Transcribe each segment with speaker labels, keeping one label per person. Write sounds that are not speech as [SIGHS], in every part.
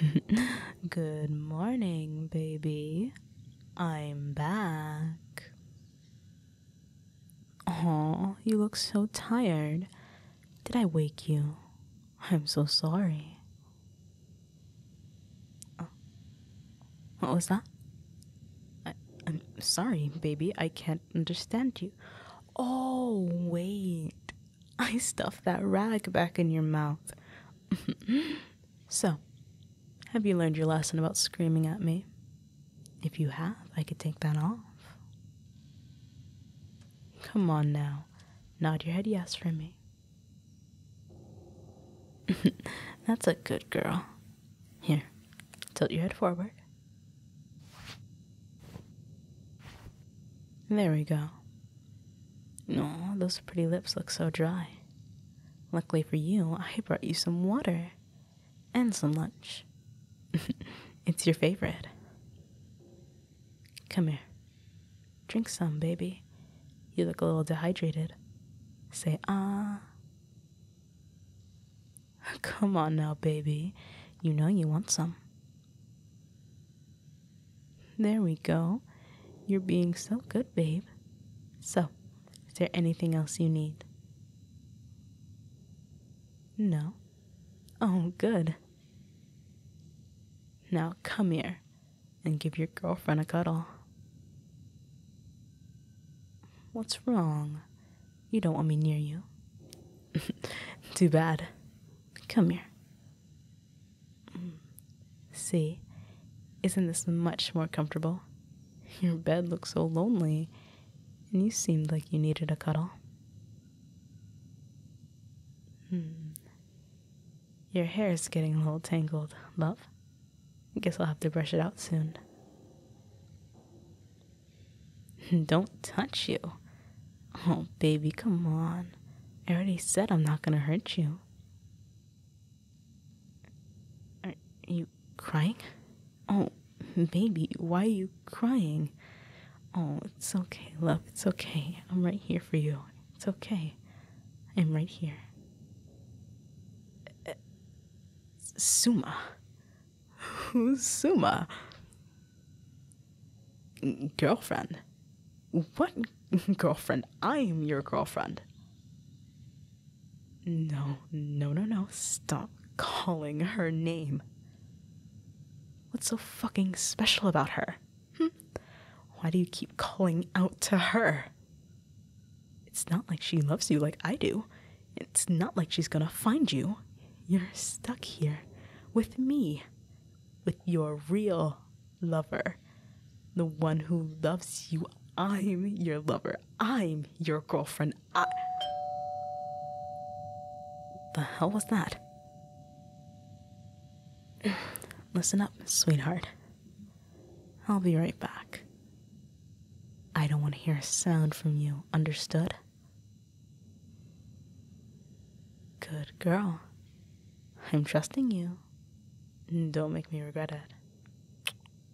Speaker 1: [LAUGHS] Good morning, baby. I'm back. Oh, you look so tired. Did I wake you? I'm so sorry. What was that? I'm sorry, baby. I can't understand you. Oh, wait. I stuffed that rag back in your mouth. [LAUGHS] so, have you learned your lesson about screaming at me? If you have, I could take that off. Come on now, nod your head yes for me. [LAUGHS] That's a good girl. Here, tilt your head forward. There we go. No, those pretty lips look so dry. Luckily for you, I brought you some water and some lunch. [LAUGHS] it's your favorite. Come here. Drink some, baby. You look a little dehydrated. Say, ah. [LAUGHS] Come on now, baby. You know you want some. There we go. You're being so good, babe. So, is there anything else you need? No. Oh, good. Now come here and give your girlfriend a cuddle. What's wrong? You don't want me near you. [LAUGHS] Too bad. Come here. Mm. See, isn't this much more comfortable? Your bed looks so lonely, and you seemed like you needed a cuddle. Hmm. Your hair is getting a little tangled, love. I guess I'll have to brush it out soon. [LAUGHS] Don't touch you. Oh, baby, come on. I already said I'm not gonna hurt you. Are crying? Oh, baby, why are you crying? Oh, it's okay, love. It's okay. I'm right here for you. It's okay. I'm right here. Uh, Suma. Who's Suma? Girlfriend. What [LAUGHS] girlfriend? I'm your girlfriend. No, no, no, no. Stop calling her name. What's so fucking special about her? Hmm? Why do you keep calling out to her? It's not like she loves you like I do. It's not like she's gonna find you. You're stuck here with me, with your real lover, the one who loves you. I'm your lover. I'm your girlfriend and The hell was that? [SIGHS] Listen up, sweetheart. I'll be right back. I don't want to hear a sound from you, understood? Good girl. I'm trusting you. Don't make me regret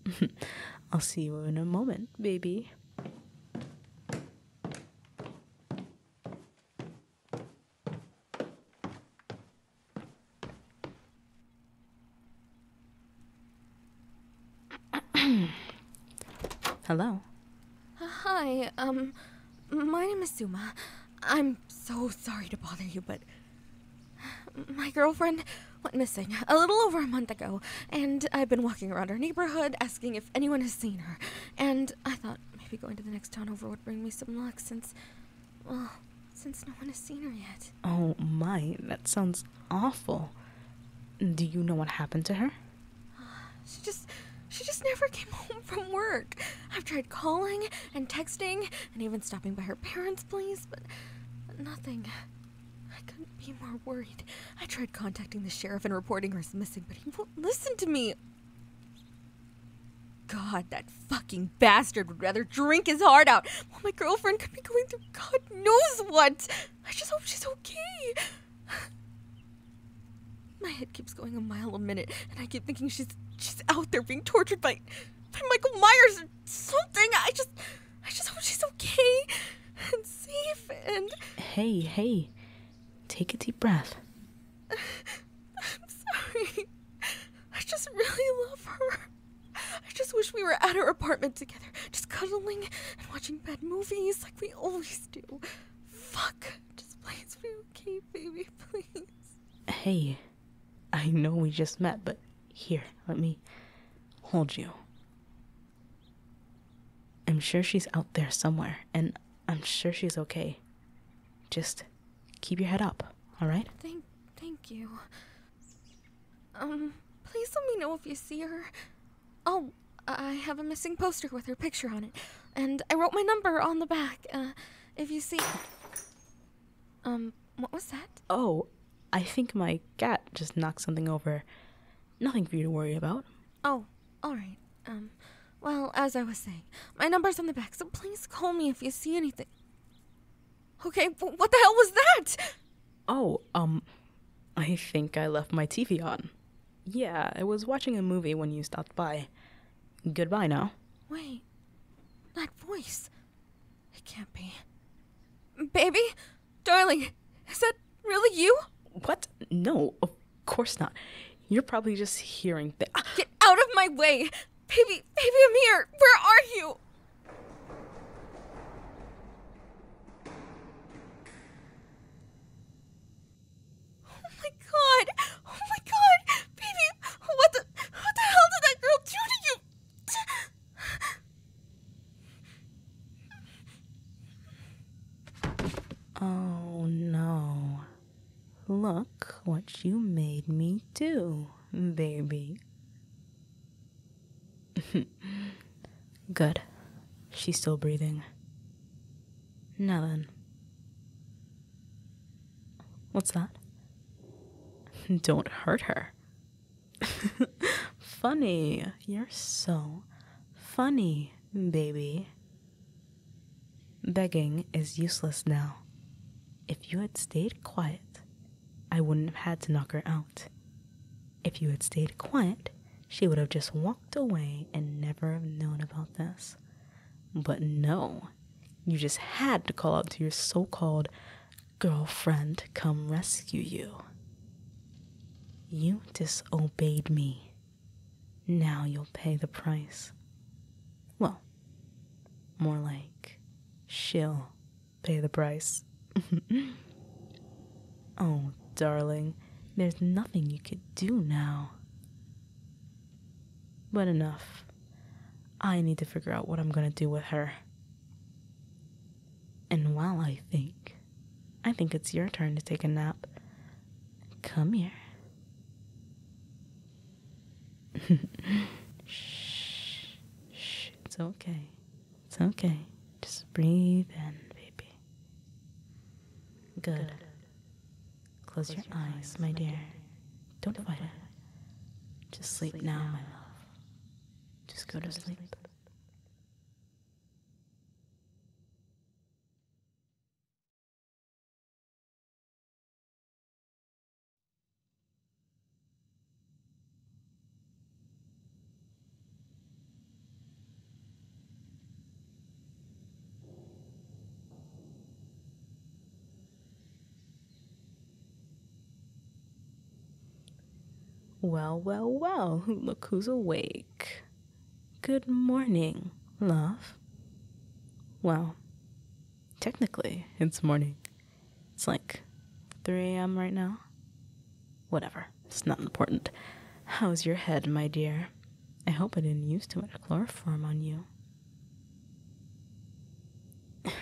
Speaker 1: it. [LAUGHS] I'll see you in a moment baby. [CLEARS THROAT] Hello.
Speaker 2: Uh, hi, um, my name is Suma. I'm so sorry to bother you, but my girlfriend went missing a little over a month ago, and I've been walking around our neighborhood asking if anyone has seen her. And I thought maybe going to the next town over would bring me some luck since, well, since no one has seen her yet.
Speaker 1: Oh my, that sounds awful. Do you know what happened to her?
Speaker 2: [SIGHS] She just she just never came [LAUGHS] home from work. I've tried calling and texting and even stopping by her parents' place, but nothing. I couldn't be more worried. I tried contacting the sheriff and reporting her as missing, but he won't listen to me. God, that fucking bastard would rather drink his heart out while my girlfriend could be going through God knows what. I just hope she's okay. My head keeps going a mile a minute, and I keep thinking she's she's out there being tortured by, by Michael Myers or something. I just. I just hope she's okay and safe and.
Speaker 1: Hey, hey. Take a deep breath. I'm
Speaker 2: sorry. I just really love her. I just wish we were at her apartment together, just cuddling and watching bad movies like we always do. Fuck. Just please be okay, baby, please.
Speaker 1: Hey, I know we just met, but here, let me hold you. I'm sure she's out there somewhere, and I'm sure she's okay. Just keep your head up, all right?
Speaker 2: Thank, thank you. Um, please let me know if you see her. Oh, I have a missing poster with her picture on it, and I wrote my number on the back. Uh, if you see.
Speaker 1: Um, what was that? Oh, I think my cat just knocked something over. Nothing for you to worry about.
Speaker 2: Oh, all right. Um, well, as I was saying, my number's on the back, so please call me if you see anything.
Speaker 1: Okay, what the hell was that? Oh, um, I think I left my TV on. Yeah, I was watching a movie when you stopped by. Goodbye now.
Speaker 2: Wait, that voice. It can't be. Baby? Darling, is that really you?
Speaker 1: What? No, of course not. You're probably just hearing things. Ah!
Speaker 2: Get out of my way! Baby, baby, I'm here! Where are you? Oh my god! Oh my god! Baby, what the, what the hell did that girl do to you?
Speaker 1: Oh no. Look what you made me do, baby. [LAUGHS] Good. She's still breathing. Now then. What's that? [LAUGHS] Don't hurt her. [LAUGHS] funny. You're so funny, baby. Begging is useless now. If you had stayed quiet, I wouldn't have had to knock her out. If you had stayed quiet, she would have just walked away and never have known about this. But no, you just had to call out to your so called girlfriend come rescue you. You disobeyed me. Now you'll pay the price. Well, more like she'll pay the price. [LAUGHS] oh, darling, there's nothing you could do now. But enough. I need to figure out what I'm gonna do with her. And while I think, I think it's your turn to take a nap. Come here. [LAUGHS] shh, shh, it's okay. It's okay. Just breathe in, baby. Good. Close, your, eyes, my dear. Don't, fight it. Just sleep, now, just go to sleep. Well, well, well, look who's awake. Good morning, love. Well, technically, it's morning. It's like 3 a.m. right now. Whatever, it's not important. How's your head, my dear? I hope I didn't use too much chloroform on you. [SIGHS]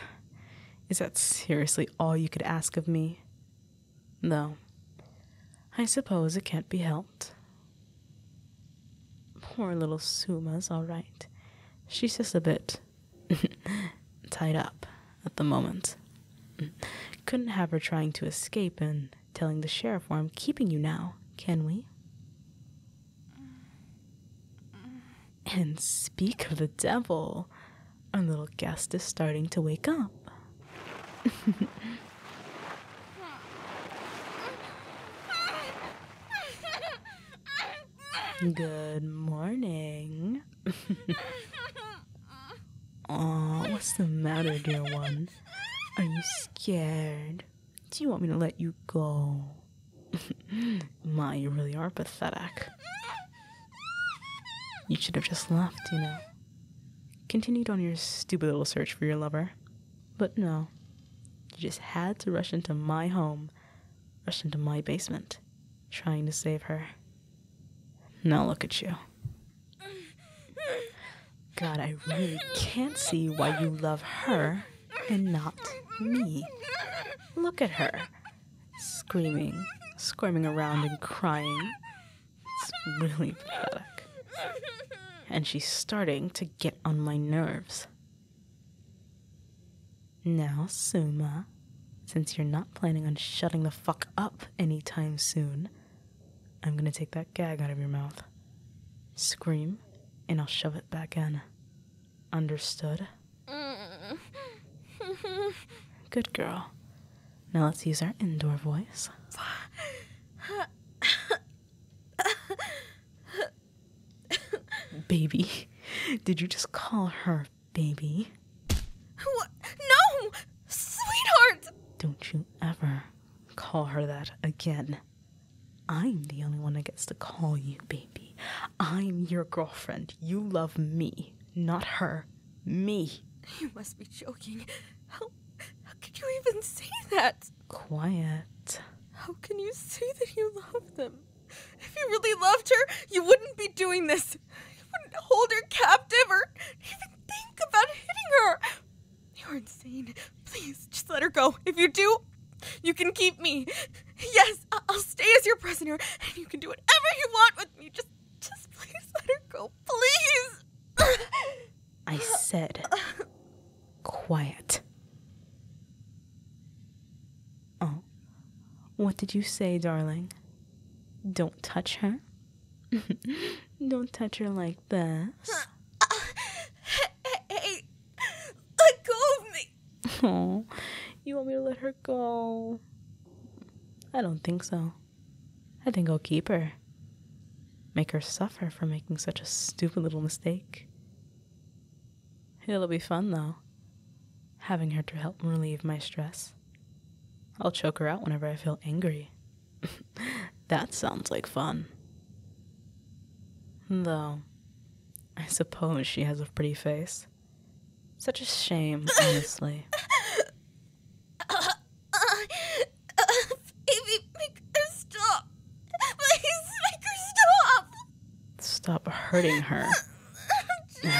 Speaker 1: Is that seriously all you could ask of me? No. I suppose it can't be helped. Poor little Suma's all right. She's just a bit [LAUGHS] tied up at the moment. [CLEARS THROAT] Couldn't have her trying to escape and telling the sheriff I'm keeping you now, can we? And speak of the devil, our little guest is starting to wake up. Good morning. Aw, what's the matter, dear one? Are you scared? Do you want me to let you go? [LAUGHS] My, you really are pathetic. You should have just left, you know. Continued on your stupid little search for your lover. But no, you just had to rush into my home, rush into my basement, trying to save her. Now look at you. God, I really can't see why you love her and not me. Look at her, screaming, squirming around and crying. It's really pathetic. And she's starting to get on my nerves. Now, Suma, since you're not planning on shutting the fuck up anytime soon, I'm gonna take that gag out of your mouth. Scream, and I'll shove it back in. Understood?
Speaker 2: Mm. [LAUGHS]
Speaker 1: Good girl. Now let's use our indoor voice. baby. Did you just call her baby?
Speaker 2: No! Sweetheart!
Speaker 1: Don't you ever call her that again. I'm the only one that gets to call you baby. I'm your girlfriend. You love me, not her. Me.
Speaker 2: You must be joking. How, how could you even say
Speaker 1: that? Quiet.
Speaker 2: How can you say that you love them? If you really loved her, you wouldn't be doing this. You wouldn't hold her captive or even think about hitting her. You're insane. Please, just let her go. If you do, you can keep me. Yes, I'll stay as your prisoner, and you can do whatever you want with me. Just, just please let her go. Please!
Speaker 1: I said, quiet. Oh, what did you say, darling? Don't touch her? [LAUGHS] Don't touch her like this. Uh, uh, Hey, let go of me. Oh, you want me to let her go? I don't think so. I think I'll keep her. Make her suffer for making such a stupid little mistake. It'll be fun, though, having her to help relieve my stress. I'll choke her out whenever I feel angry. [LAUGHS] that sounds like fun. Though, I suppose she has a pretty face. Such a shame, [LAUGHS] honestly.
Speaker 2: baby, make her stop. Please make her stop.
Speaker 1: Stop hurting her. [LAUGHS]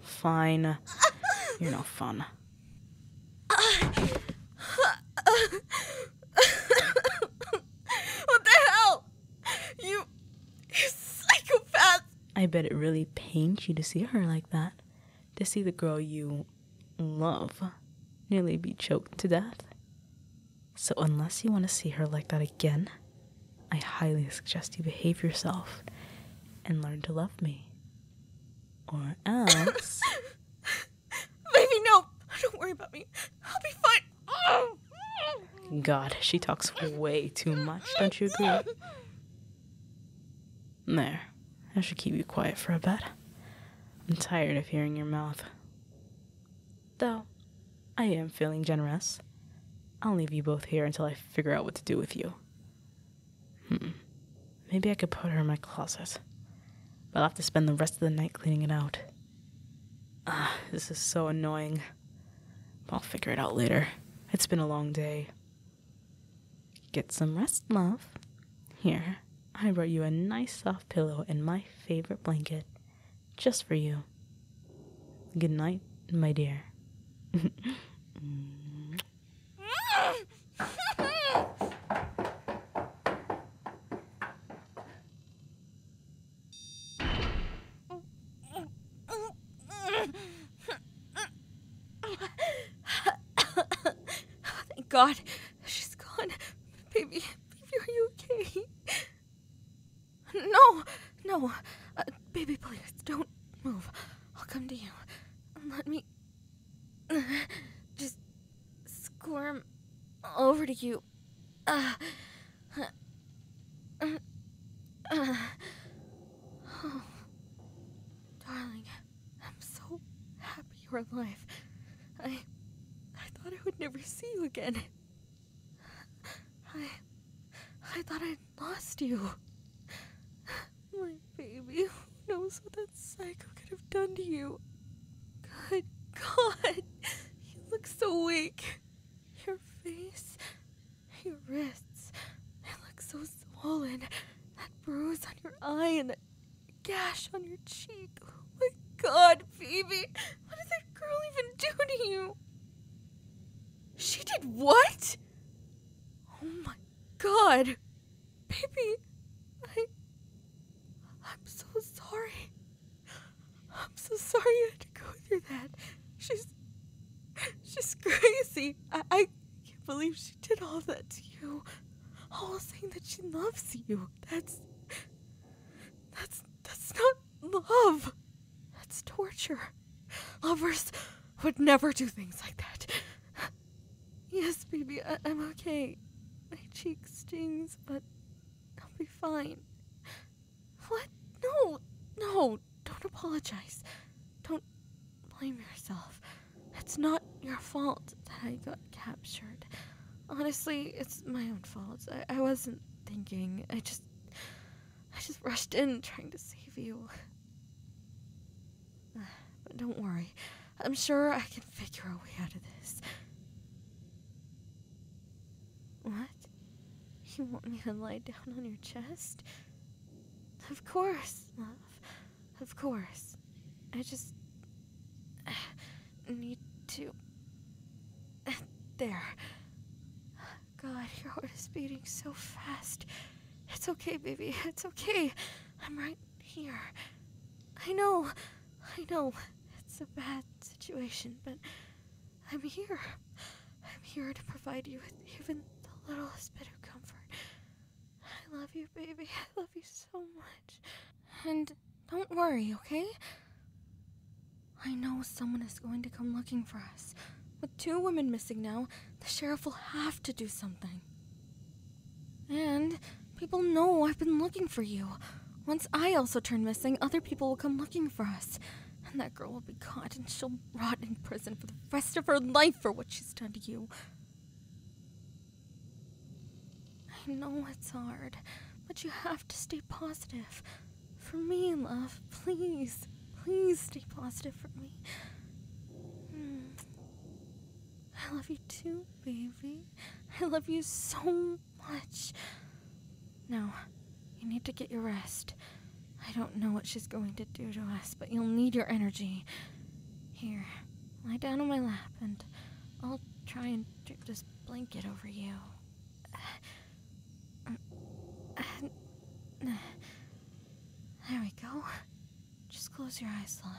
Speaker 1: Fine. You're no fun. [LAUGHS] Uh,
Speaker 2: uh, [LAUGHS] what the hell? You.
Speaker 1: You psychopath! I bet it really pains you to see her like that. To see the girl you love nearly be choked to death. So, unless you want to see her like that again, I highly suggest you behave yourself and learn to love me. Or [LAUGHS] else. Baby, no. Don't worry about me. I'll be fine. God, she talks way too much, don't you agree? There. I should keep you quiet for a bit. I'm tired of hearing your mouth. Though, I am feeling generous. I'll leave you both here until I figure out what to do with you. Hmm. Maybe I could put her in my closet. I'll have to spend the rest of the night cleaning it out. Ah, this is so annoying. I'll figure it out later. It's been a long day. Get some rest, love. Here, I brought you a nice soft pillow and my favorite blanket, just for you. Good night, my dear. [LAUGHS]
Speaker 2: Thank God. She's gone. Baby, baby, are you okay? No, no. Uh, baby, please, don't move. I'll come to you. Let me just squirm over to you uh, [SIGHS] darling, I'm so happy you're alive. I, I thought I would never see you again. I, I thought I'd lost you. My baby, who knows what Psycho could have done to you. Good God, you look so weak. Your face, your wrists, they look so swollen. That bruise on your eye and that gash on your cheek. Oh God, Phoebe, what did that girl even do to you? She did what? Oh my God, baby, I, I'm so sorry. I'm so sorry you had to go through that. She's. She's crazy. I, I can't believe
Speaker 1: she did all that to
Speaker 2: you. All saying that she loves you. That's. That's. That's not love. That's torture. Lovers would never do things like that. Yes, baby, I- am okay. My cheek stings, but I'll be fine. What? No, no, don't apologize. Don't blame yourself. It's not your fault that I got captured. Honestly, it's my own fault. I, I wasn't thinking. I just. I just rushed in trying to save you. [SIGHS] But don't worry. I'm sure I can figure a way out of this. What? You want me to lie down on your chest? Of course, love. Of course. I just [SIGHS] need to. There. God, your heart is beating so fast. It's okay, baby. It's okay. I'm right here. I know. I know it's a bad situation, but I'm here. I'm here to provide you with even the littlest bit of comfort. I love you, baby. I love you so much. And don't worry, okay? I know someone is going to come looking for us. With two women missing now, the sheriff will have to do something. And people know I've been looking for you. Once I also turn missing, other people will come looking for us. And that girl will be caught and she'll rot in prison for the rest of her life for what she's done to you. I know it's hard, but you have to stay positive. For me, love, please, please stay positive for me. Hmm. I love you too, baby. I love you so much. Now, you need to get your rest. I don't know what she's going to do to us, but you'll need your energy. Here, lie down on my lap, and I'll try and drape this blanket over you. Uh, uh, there we go. Just close your eyes, love.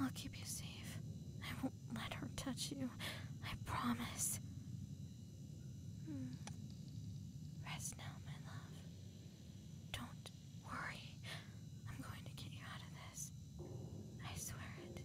Speaker 2: I'll keep you safe. I won't let her touch you. I promise. Hmm. Rest now, my love. Don't worry. I'm going to get you out of this. I swear it.